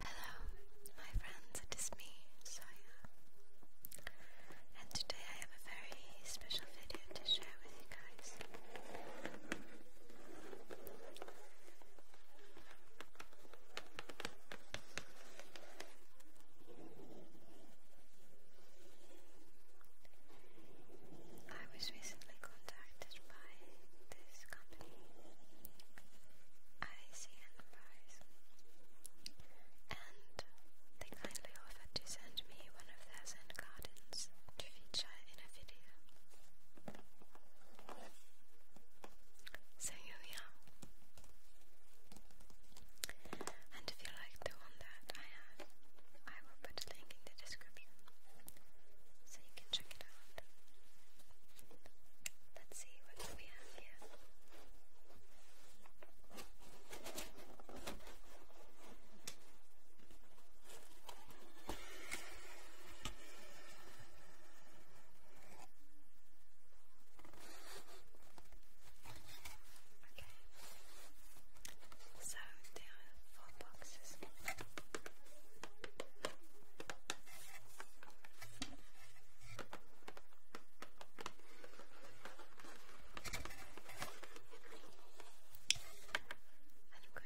Hello, my friends, it is me, Saya, and today I have a very special video to share with you guys. I was recently contacted by this company, ICN Prize, and they kindly offered to send me one of their Zen gardens to feature in a video. So here we are. And if you like the one that I have, I will put a link in the description so you can check it out. Let's see what we have here. Okay. So there are boxes. And I'm going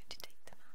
to take them out.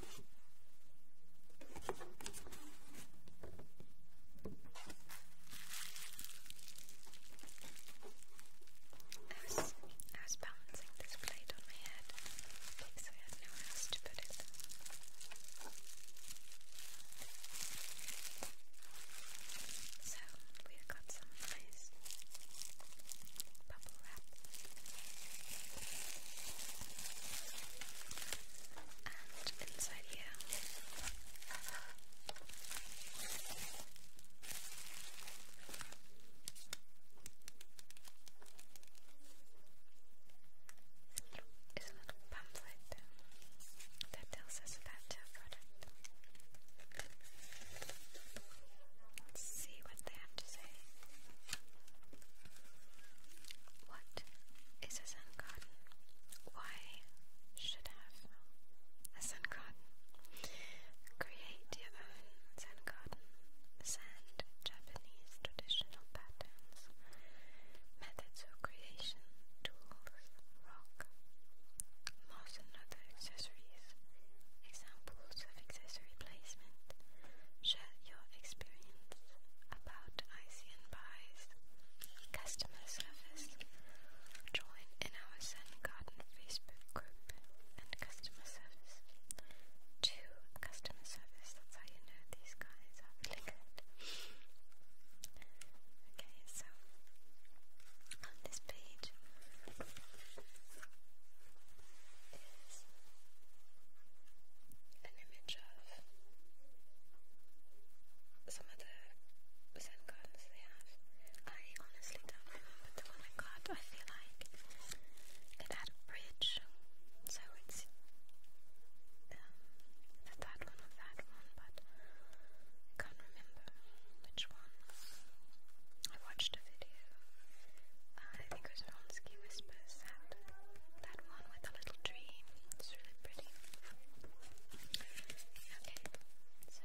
was, I was balancing this plate on my head because I had nowhere else to put it. So we've got some nice bubble wrap. And inside here is a pamphlet that tells us about our product. Let's see what they have to say. What is a Zen god? Why should have a Zen god? Create your own Zen god. Sand Japanese traditional patterns, methods of creation, tools, rock, moss, and other accessories. Examples kinds accessory placement. Share your experience about ICN buys, customer service. Join our Sun Garden Facebook group and customer service. Two customer service. That's how you know these guys are really good. Okay, so on this page is an image of some of the Zen gardens they have. I honestly don't remember the one I got. I feel like it had a bridge, so it's um, the that one or that one, but I can't remember which one. I watched a video uh, I think it was Vronsky Whispers, that, that one with the little tree. It's really pretty. Okay, so.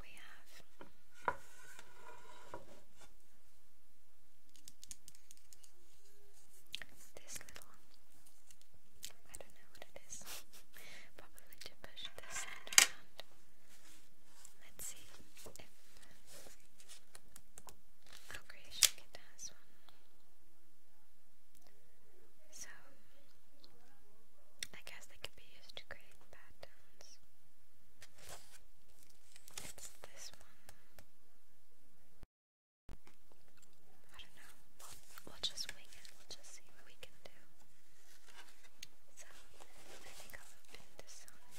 We have this little, I don't know what it is, probably to push this around Let's see if oh great, Shikita has one. So I guess they could be used to create patterns. It's this one. I don't know. we'll just wing it. We'll just see what we can do. So I think I'll open this one.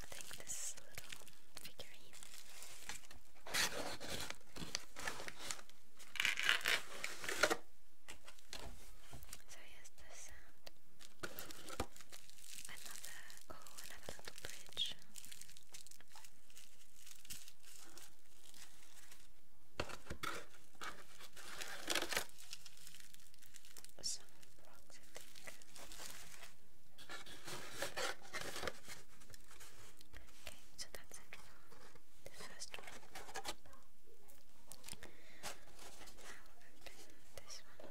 I think this little figurine. So, yes, the sound um, Another, oh, another little bridge. Some rocks, I think. Okay, so that's the first one. And now open this one.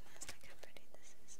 recognized like how pretty this is.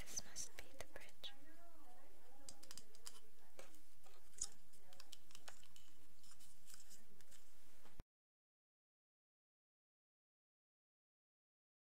This must be the bridge.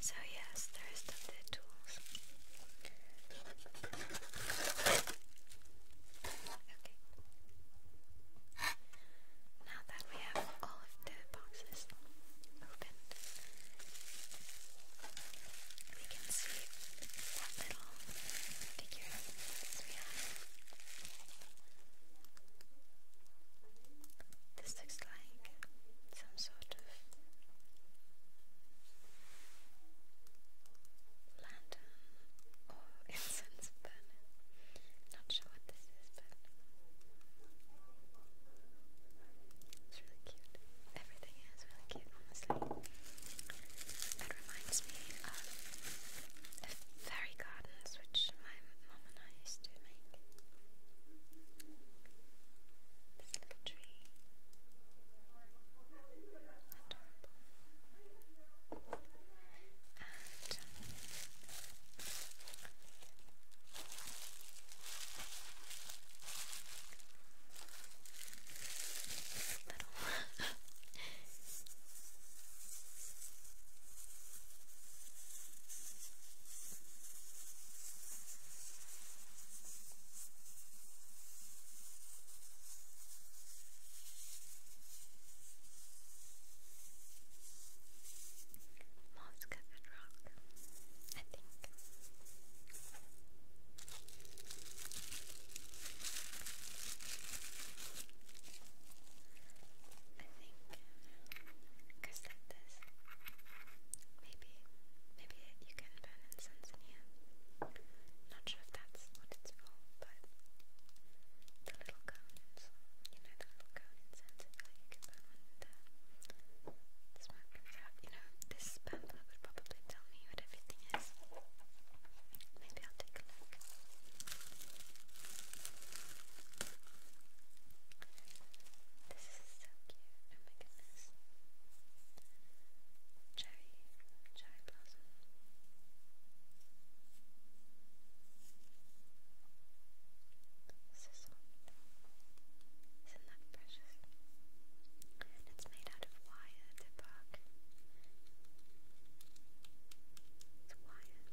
So, yes, the rest the tools. Okay. Now that we have all of the boxes opened, we can see that little figure This looks like some sort of lantern or incense burner. Not sure what this is, but it's really cute. Everything is really cute honestly. It reminds me of fairy gardens, which my mum and I used to make. This little tree. Adorable. Um, little. Mom's covered rock, I think because like this, maybe, maybe you can burn incense in here. Not sure if that's what it's for, but the little cones, you know, the little cone incense, like you can burn one The smoke comes out, you know, this pamphlet would probably tell me what everything is. Maybe I'll take a look. This is so cute. Oh my goodness. Cherry, cherry blossom. So Isn't that precious? It's made out of wire, the bug. It's wire.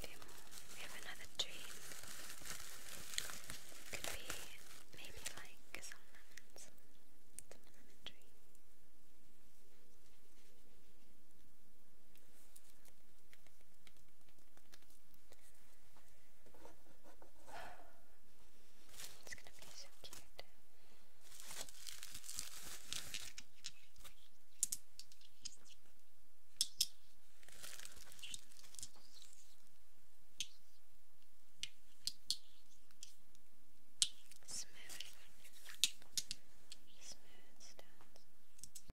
Okay, we have another dream. Could be maybe like some lemons. lemon tree. It's gonna be so cute. Smooth, smooth stones.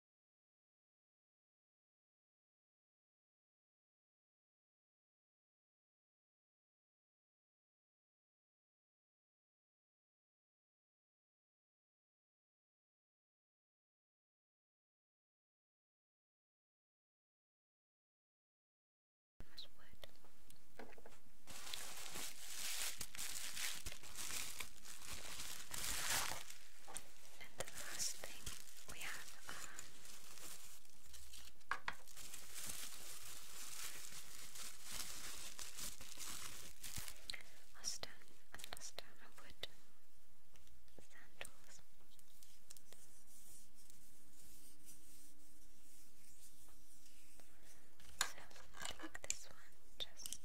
And the last thing we have uh, a stone, another stone, a wood, sandals. So I think this one just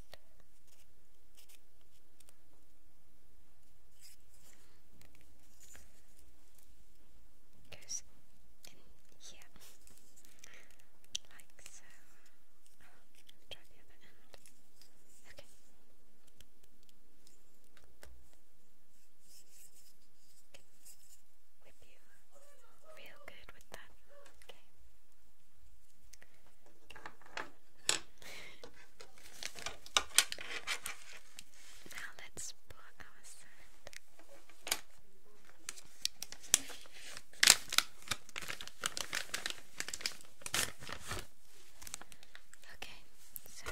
goes in here, like so. try the other end. Okay. Whip you real good with that. Okay. Now let's put our sand. Okay, so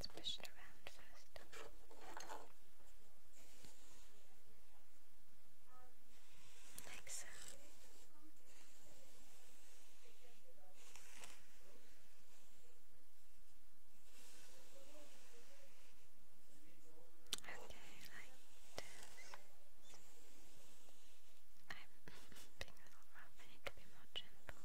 Let's push it around first. Like being a little rough, I need to be more gentle.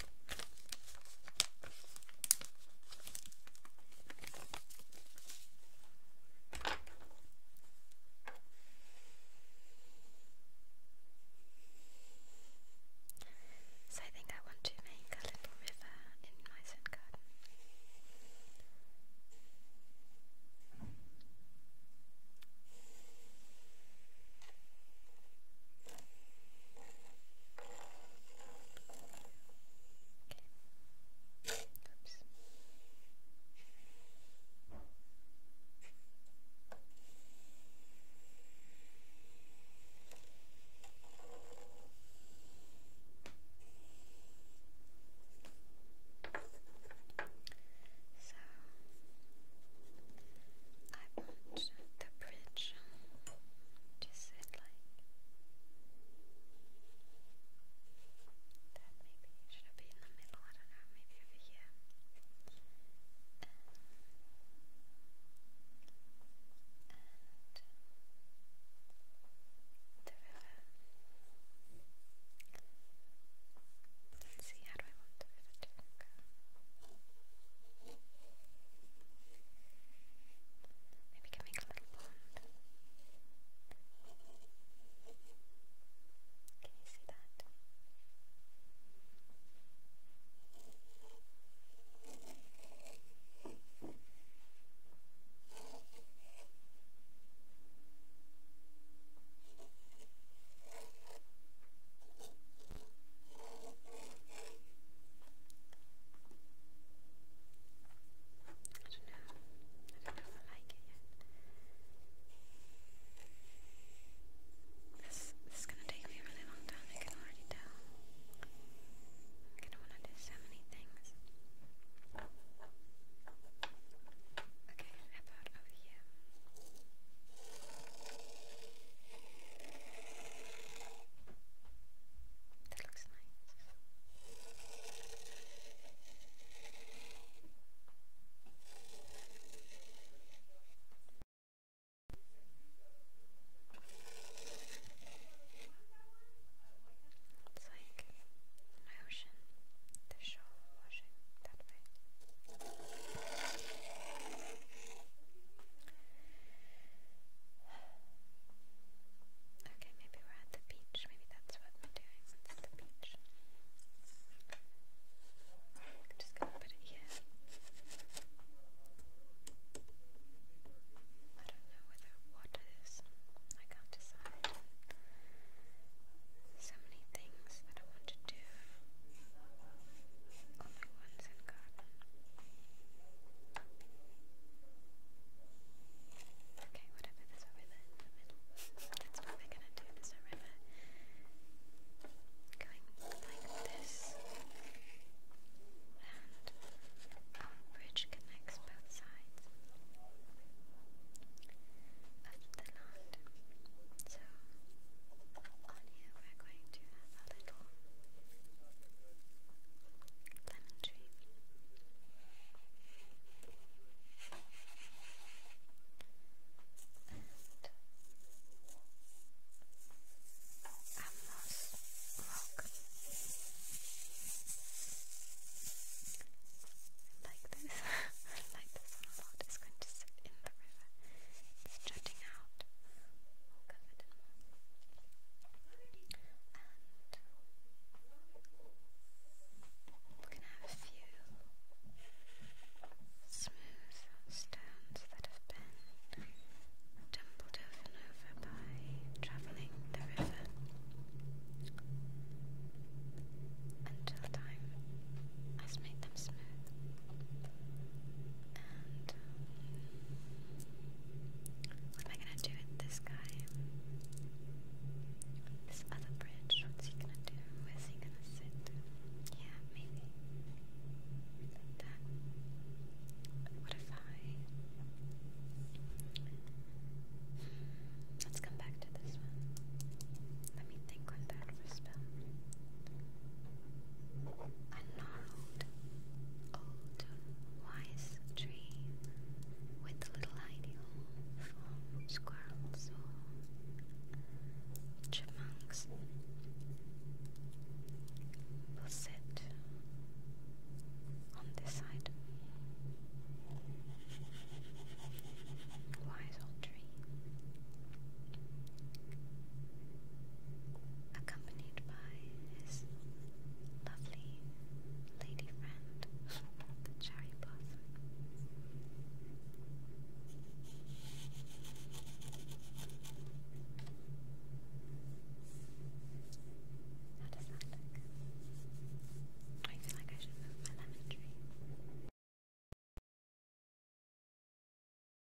So I think I want to make a little river in my sun garden. Oops. So I want the bridge just said like that maybe it should have in the middle, I don't know, maybe over here see, how do want the river to go? Maybe we can make a little pond. Can you see that? I don't like it yet. This, this is gonna take me a really long time, I can already tell. I'm gonna wanna do so many things. Okay, about over here? That looks nice. It's like an ocean, the shore washing that way. Okay, maybe we're at the beach. Maybe that's what we're doing. It's the beach. just gonna put it here. I don't know whether water is. I can't decide. So many things that I want to do. All my ones Okay, whatever, there's a river in the middle. That's what we're gonna do, there's a river. Going like this. And our bridge connects both sides of the land. So on here we're going to a little lemon tree. And Amnos rock. like this. like this a lot. It's going to sit in the river. jutting out we're going to have a few smooth stones that have been tumbled over and over by travelling the river until time has made them smooth. What am I gonna do with this guy? This other bridge, what's he gonna do? Where's he gonna sit? Yeah, maybe. that. What if I. Let's come back to this one. Let me think on that for a spell. I profound, old, wise tree with little hiding squirrels chipmunks will sit on this side. Wise old tree. Accompanied by his lovely lady friend, the cherry blossom. How does that look? I feel like I should move my lemon tree.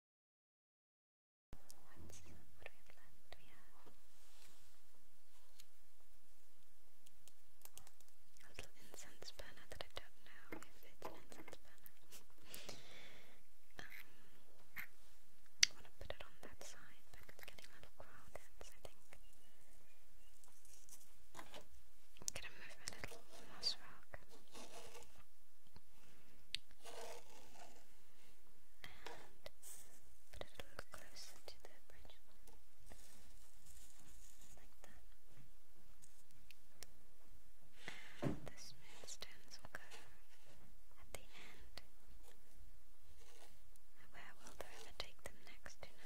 What's, what do we have left? We have a little incense burner that I don't know if it's an incense burner. um, I want to put it on that side because it's getting a little crowded, so I think. I'm gonna move my little moss rock put it a little closer to the bridge Like that. the smooth stones will go at the end. Where will the take them next? Okay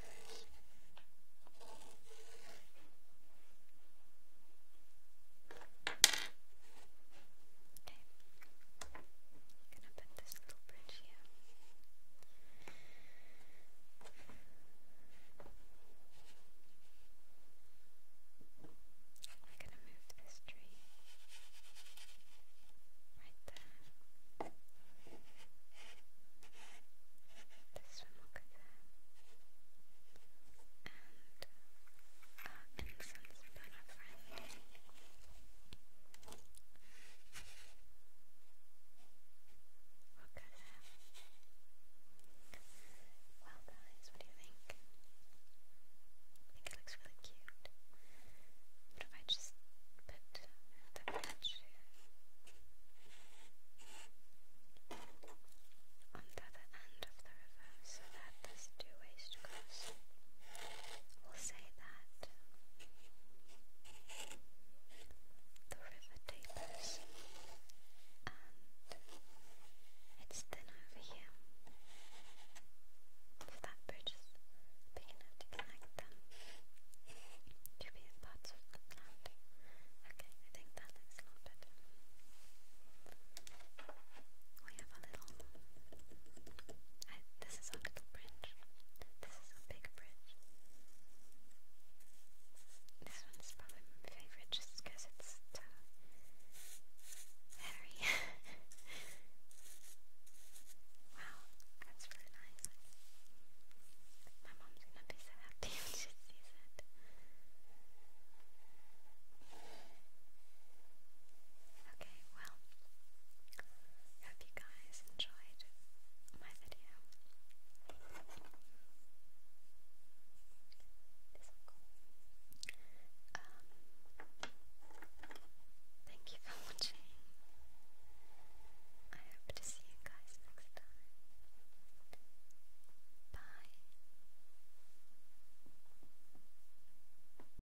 gonna put this little bridge here. I'm gonna move this tree right there. This one will go there. Uh, and since been a Well guys, what do you think? I think it looks really cute. What if I just put the patch on the other end of the river so that this two-way We'll say that the river tapers and it's thin over here. If that bridge is big enough to connect them to be a part of the land. Okay, I think that looks a lot better we have this is a little bridge. This is a big bridge. This one's probably my favorite just because it's too very. wow, that's really nice. My mom's gonna be so happy when she sees it. Okay, well, hope you guys enjoyed my video. thank you for watching. I hope to see you guys next time. Bye.